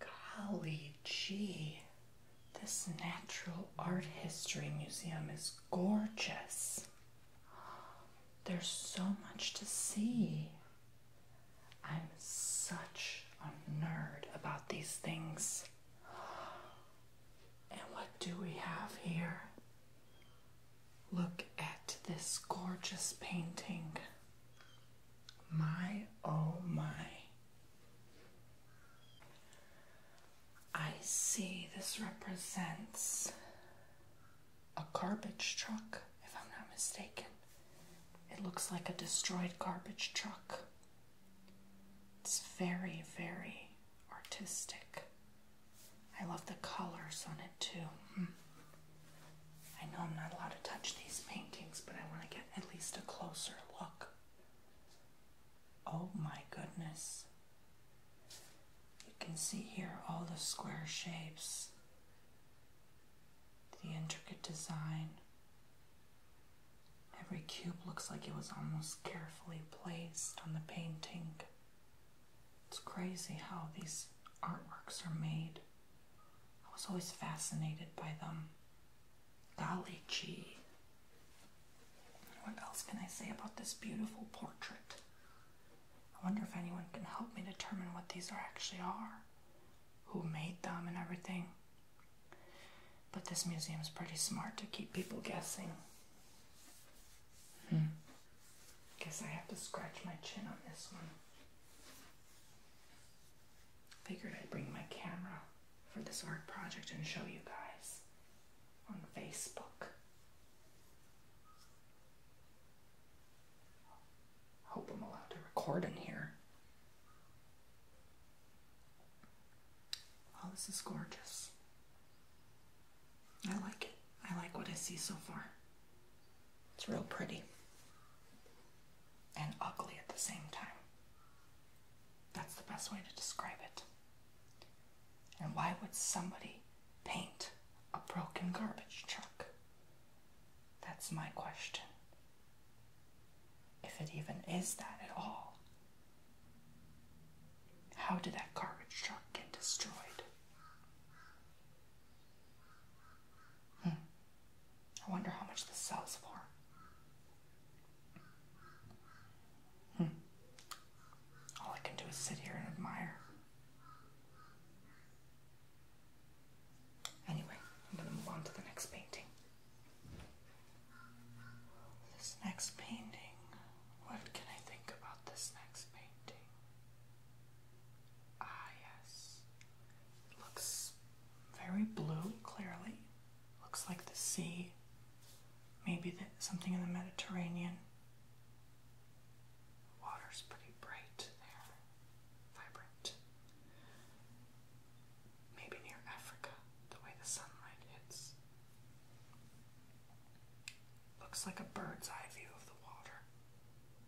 Golly gee, this Natural Art History Museum is gorgeous. There's so much to see. I'm such a nerd about these things. And what do we have here? Look at this gorgeous painting. My oh my. I see this represents a garbage truck, if I'm not mistaken. It looks like a destroyed garbage truck. It's very, very artistic. I love the colors on it too. Hmm. I know I'm not allowed to touch these paintings, but I want to get at least a closer look. Oh my goodness. You can see here all the square shapes, the intricate design. Every cube looks like it was almost carefully placed on the painting. It's crazy how these artworks are made. I was always fascinated by them. Golly gee. What else can I say about this beautiful portrait? I wonder if anyone can help me determine what these are actually are, who made them and everything. But this museum is pretty smart to keep people guessing. Hmm. Guess I have to scratch my chin on this one. Figured I'd bring my camera for this art project and show you guys on Facebook. Hope I'm allowed to record in here. Oh, this is gorgeous. I like it. I like what I see so far. It's real pretty and ugly at the same time. That's the best way to describe it. And why would somebody paint a broken garbage truck? That's my question. If it even is that at all. How did that garbage truck get destroyed? Hmm. I wonder how much this sells for. Hmm. All I can do is sit here and admire. Anyway, I'm going to move on to the next painting. This next painting, what can I think about this next painting? Ah, yes. It looks very blue, clearly. Looks like the sea. Maybe something in the Mediterranean. Water's pretty bright there, vibrant. Maybe near Africa, the way the sunlight hits. Looks like a bird's eye view of the water.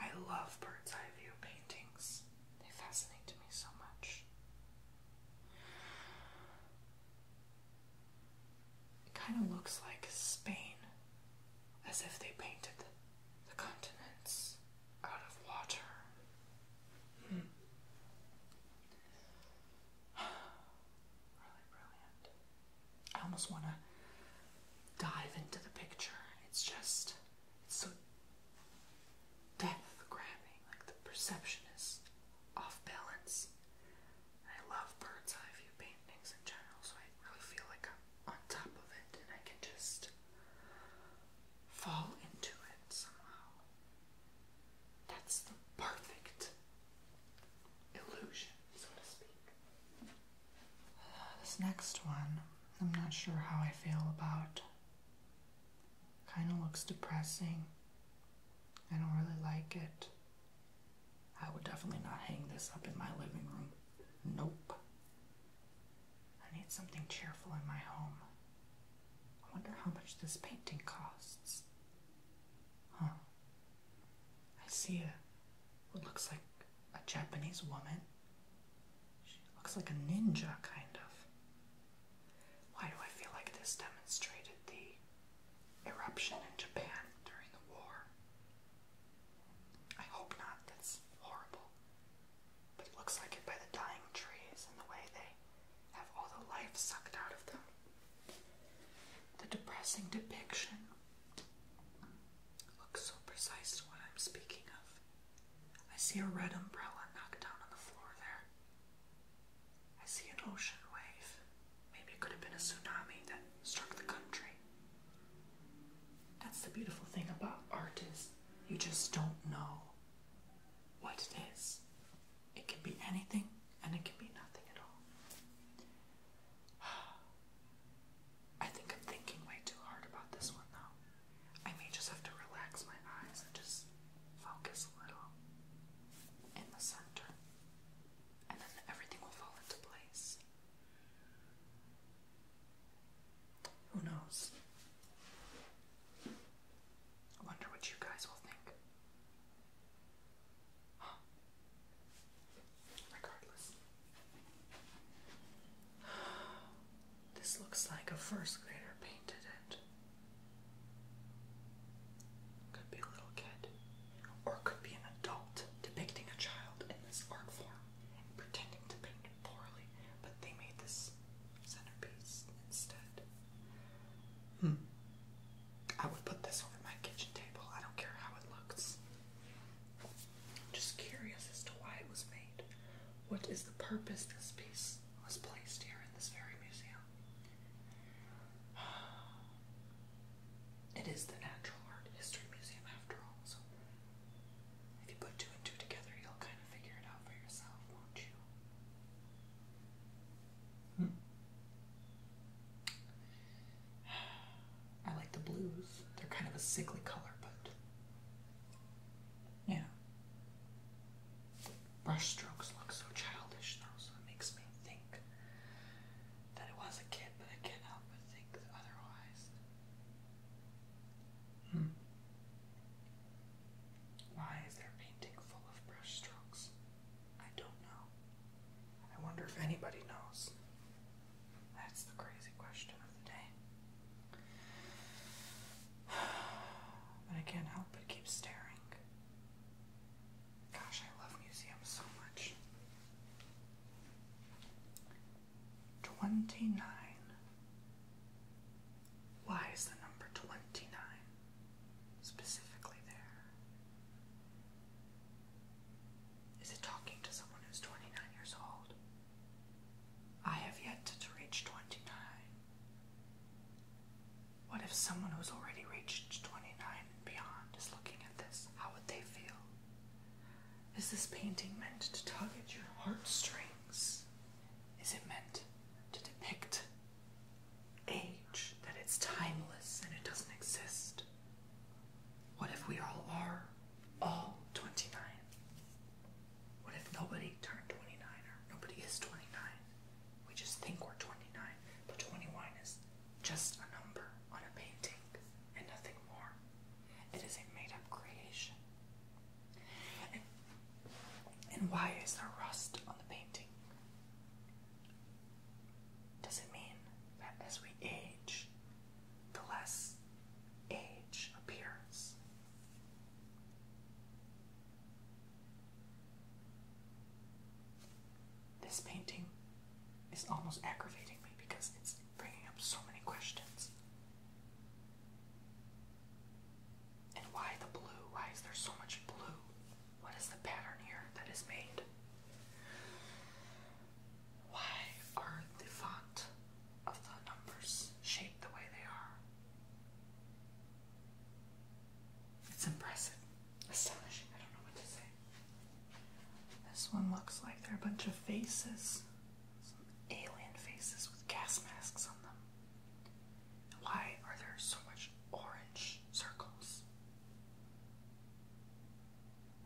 I love bird's eye view paintings. They fascinate me so much. It kind of looks like Spain, as if they painted the continents out of water. Hmm. really brilliant. I almost want to dive into the picture. It's just it's so death grabbing, like the perception is off balance. I love bird's eye view paintings in general, so I really feel like I'm on top of it and I can just fall into it somehow. That's the perfect illusion, so to speak. This next one, I'm not sure how I feel about. Kind of looks depressing. I don't really like it. I would definitely not hang this up in my living room. Nope. I need something cheerful in my home. I wonder how much this painting costs. Huh. I see a what looks like a Japanese woman. She looks like a ninja, kind of. Why do I feel like this demonstrated the eruption in Japan during the war? I hope not, that's horrible. But it looks like it by the dying trees and the way they have all the life sucked out of them. The depressing depiction Look so precise to what I'm speaking of. I see a red umbrella knocked down on the floor there. I see an ocean wave. Maybe it could have been a tsunami that struck the country. That's the beautiful thing about art is you just don't know what it is. It can be anything and it can be nothing at all. I think I'm thinking way too hard about this one though. I may just have to relax my eyes and just focus a little in the center, and then everything will fall into place. Who knows? I wonder what you guys will think. Regardless. This looks like a first grader painted it. Could be a little kid. Or could be an adult depicting a child in this art form pretending to paint poorly, but they made this centerpiece instead. Hmm. I would put this over my kitchen table. I don't care how it looks. I'm Just curious as to why it was made. What is the purpose this piece was placed here in this very museum? It is the Natural Art History Museum after all, so if you put two and two together, you'll kind of figure it out for yourself, won't you? Hmm. I like the blues. They're kind of a sickly color, but yeah. Brush look so childish though, so it makes me think that it was a kid, but I can't help but think otherwise. Hmm. Why is there painting full of brush I don't know. I wonder if anybody knows. That's the crazy question of the day. But I can't help but keep staring. Gosh, I love museums so much. 29. Why is the number 29 specifically there? Is it talking to someone who's 29 years old? I have yet to reach 29. What if someone who's already reached 29 and beyond is looking at this? How would they feel? Is this painting meant to tug at your heartstrings? Is it meant to depict age, that it's timeless and it doesn't exist? What if we all are all 29? What if nobody turned 29 or nobody is 29? We just think we're 29, but twenty-nine is just a number on a painting and nothing more. It is a made up creation. and why is there rust on the painting? Does it mean that as we age, the less age appears? This painting is almost aggravating me because it's bringing up so many questions. And why the blue? Why is there so much blue? What is the pattern here that is made? Why are the font of the numbers shaped the way they are? It's impressive. Astonishing. I don't know what to say. This one looks like they're a bunch of faces. alien faces with gas masks on them. Why are there so much orange circles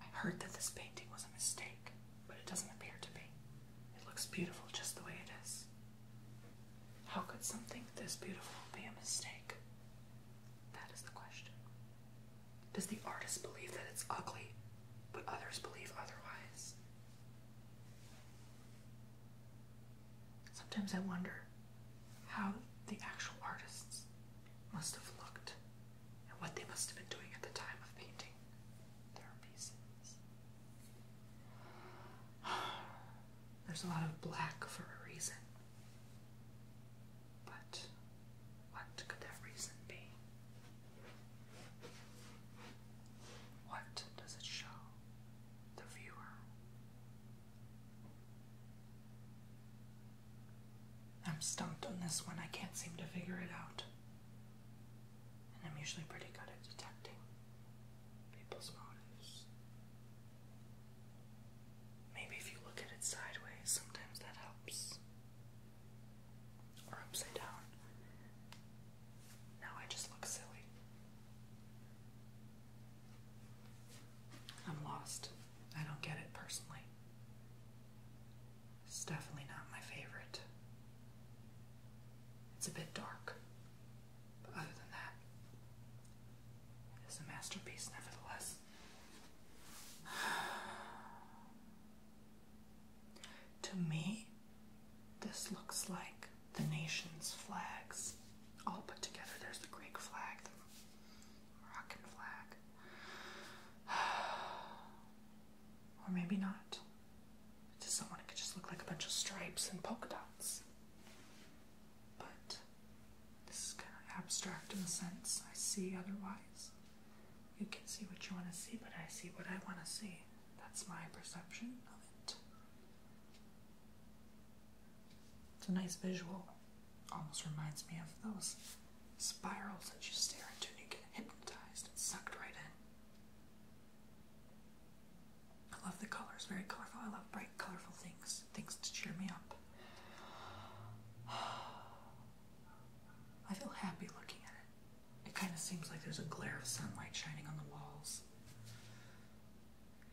i heard that this painting was a mistake, but it doesn't appear to be. It looks beautiful just the way it is. How could something this beautiful be a mistake? That is the question. Does the artist believe that it's ugly, but others believe otherwise? Sometimes I wonder how the actual artists must have looked and what they must have been doing at the time of painting their pieces. There's a lot of black for a reason. But what could that reason be? What does it show the viewer I'm stumped on this one. I can't seem to figure it out. And I'm usually pretty good at detecting people's motives. Maybe if you look at it sideways, sometimes that helps. Or upside down. Now I just look silly. I'm lost. I don't get it personally. It's definitely not my favorite. It's a bit dark, but other than that, it's a masterpiece nevertheless. to me, this looks like the nation's flags all oh, put together. There's the Greek flag, the Moroccan flag. or maybe not. To someone, it could just look like a bunch of stripes and polka dots. But this is kind of abstract in a sense I see otherwise. You can see what you want to see, but I see what I want to see. That's my perception of it. It's a nice visual. Almost reminds me of those spirals that you stare into and you get hypnotized and sucked right in. I love the colors, very colorful. I love bright, colorful things, things to cheer me up. I feel happy looking at it. It kind of seems like there's a glare of sunlight shining on the walls.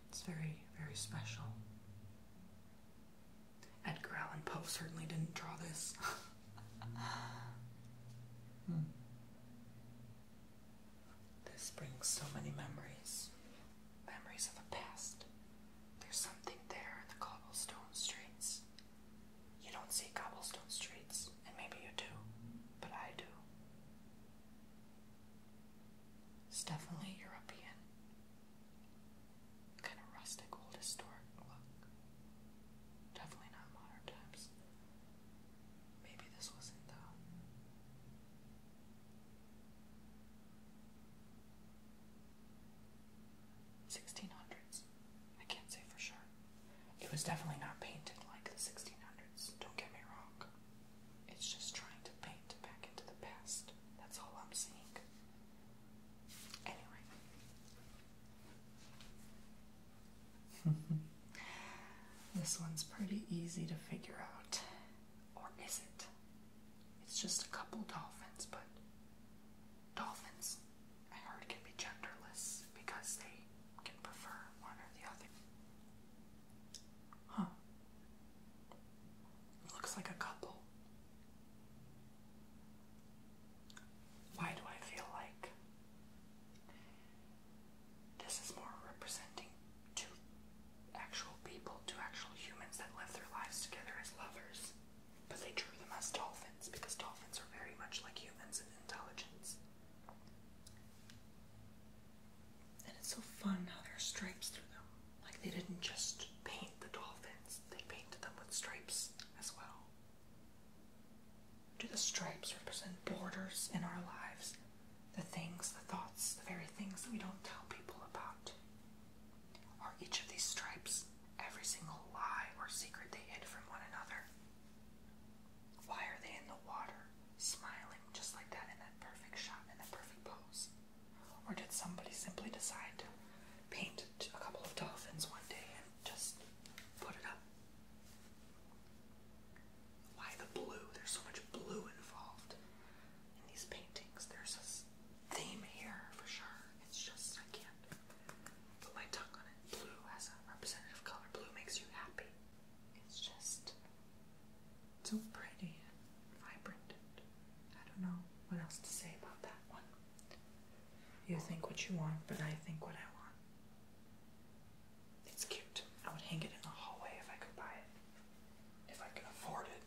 It's very, very special. Edgar Allan Poe certainly didn't draw this. Hmm. This brings so many memories. Memories of the past. There's something there in the cobblestone streets. You don't see cobblestone streets, and maybe you do, but I do. It's definitely European. Kind of rustic, old historic look. Definitely not modern times. Maybe this wasn't though. Sixteen hundreds. I can't say for sure. It was definitely not painted like the sixteen hundreds, don't get me wrong. It's just trying to paint back into the past. That's all I'm seeing. Anyway. this one's pretty easy to figure out. Or is it? It's just a couple dolphins, but dolphins, I heard, can be genderless because they can prefer one or the other. Huh. Looks like a couple. Why do I feel like this is more representing two actual people, two actual humans that live their lives together as lovers? But they drew them as dolphins because dolphins are very much like humans in intelligence. And it's so fun how there are stripes through them. Like they didn't just paint the dolphins, they painted them with stripes as well. Do the stripes represent borders in our lives? The things, the thoughts, the very things that we don't tell people about? Are each of these stripes every single lie or secret they hid from one another? Why are they in the water? smiling just like that in that perfect shot, in that perfect pose? Or did somebody simply decide to paint a couple of dolphins one day and just put it up? Why the blue? There's so much blue involved in these paintings. There's a theme here for sure. It's just, I can't put my tongue on it. Blue has a representative color. Blue makes you happy. It's just so pretty and vibrant. I don't know what else to say about that one. You think what you want, but I think what I want. It's cute. I would hang it in the hallway if I could buy it, if I could afford it.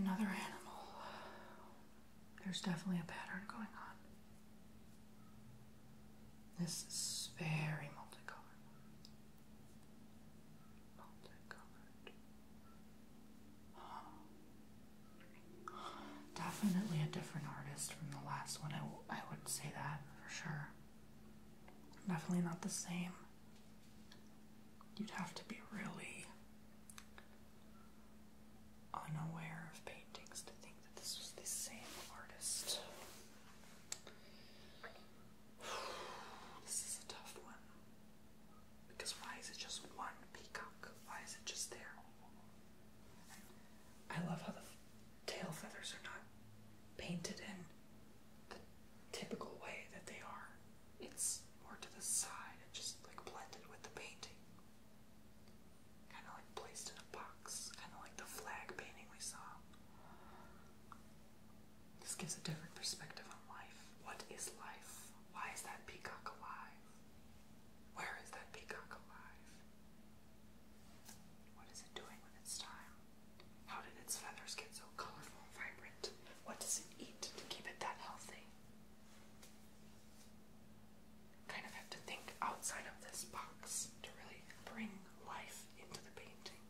Another animal. There's definitely a pattern going on. This is very multicolored. Multicolored. Definitely a different artist from the last one. I, I would say that for sure. Definitely not the same. You'd have to be really unaware of paintings to think this was the same artist. This is a tough one. Because why is it just one peacock? Why is it just there? I love how the tail feathers are not painted in the typical way that they are. It's more to the side and just like blended with the painting kind of like placed in a box, kind of like the flag painting we saw. This gives a different perspective on life. What is life? Why is that peacock alive? Where is that peacock alive? What is it doing when it's time? How did its feathers get so colorful vibrant? What does it eat to keep it that healthy? kind of have to think outside of this box to really bring life into the painting.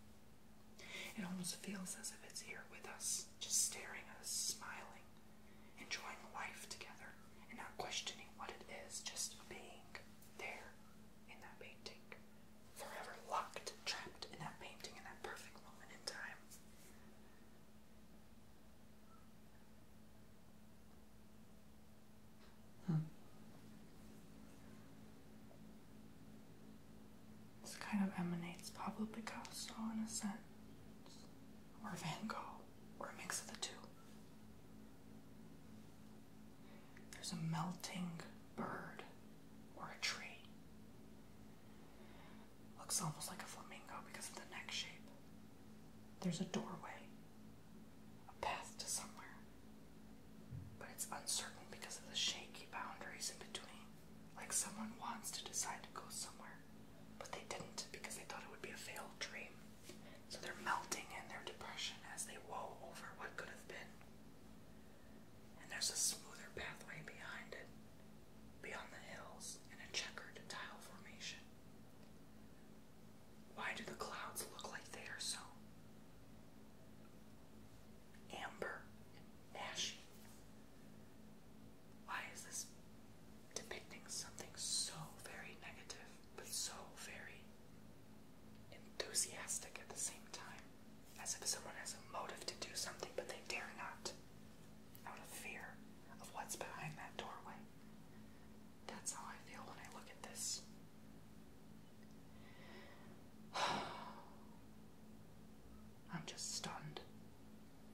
It almost feels as if it's here with us, just staring at us, smiling, enjoying life together, and not questioning what it is, just being there in that painting. Forever locked, trapped in that painting, in that perfect moment in time. Hmm. kind of emanates Pablo Picasso in a sense, or Van Gogh, or a mix of the two. There's a melting bird or a tree. Looks almost like a flamingo because of the neck shape. There's a doorway a path to somewhere, but it's uncertain because of the shaky boundaries in between. Like someone wants to decide to go somewhere, but they didn't because they thought it would be a failed dream. So they're melting in their depression as they woe over what could have been. And there's a smoother pathway behind it, beyond the hills, in a checkered tile formation. Why do the clouds look like they are so amber ashy? Why is this depicting something so very negative but so very enthusiastic at the same time? As if someone has a motive to do something but they dare not out of fear of what's behind that doorway. That's how I feel when I look at this. I'm just stunned.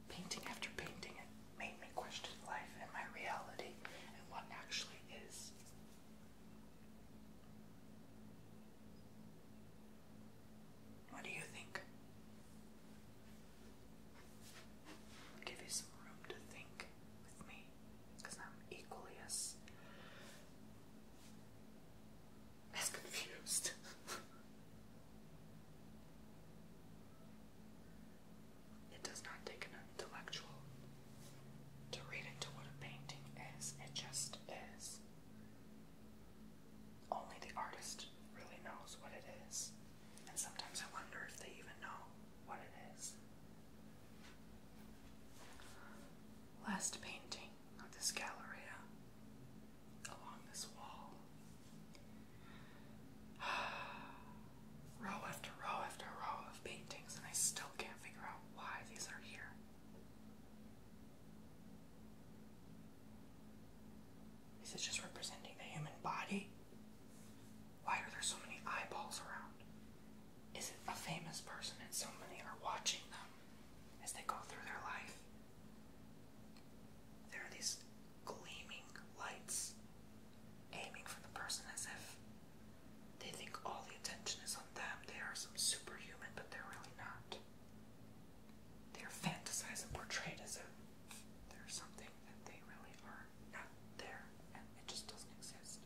Painting after painting, it made me question life and my reality and what actually is. What do you think? give you some room to think with me because I'm equally as as confused. it does not take an intellectual to read into what a painting is. It just is. Only the artist really knows what it is. And sometimes I wonder if they even know what it is. Last painting of this galleria along this wall. row after row after row of paintings, and I still can't figure out why these are here. Is it just representing the human body? Why are there so many eyeballs around? Is it a famous person and so many are watching them as they go through their life? There are these gleaming lights aiming for the person as if they think all the attention is on them. They are some superhuman, but they're really not. They're fantasized and portrayed as if they're something that they really are not there, and it just doesn't exist.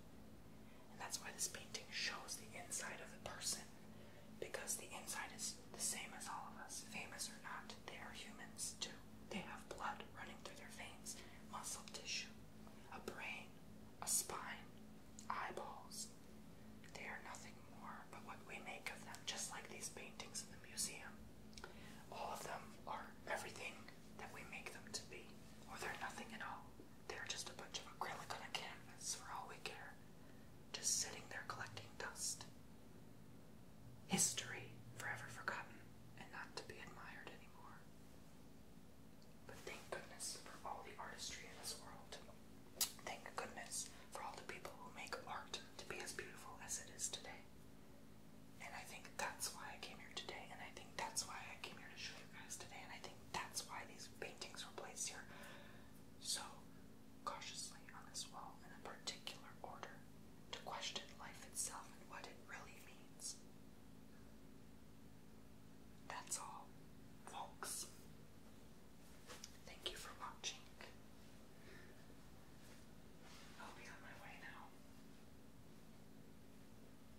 And that's why this painting shows the inside of the person, because the inside is the same as all of us, famous or not. They are humans too. They have blood running through their veins, muscle tissue, a brain, a spine, eyeballs. They are nothing more but what we make of them, just like these paintings in the museum. All of them are everything that we make them to be, or they're nothing at all. They're just a bunch of acrylic on a canvas for all we care, just sitting there collecting dust. History forever forgotten and not to be admired anymore. But thank goodness for all the artistry in this world. Thank goodness for all the people who make art to be as beautiful as it is today. And I think that's why I came here today, and I think that's why I came here to show you guys today, and I think that's why these paintings were placed here so cautiously on this wall in a particular order to question life itself and what it really means. That's all, folks. Thank you for watching. I'll be on my way now.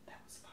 That was fun.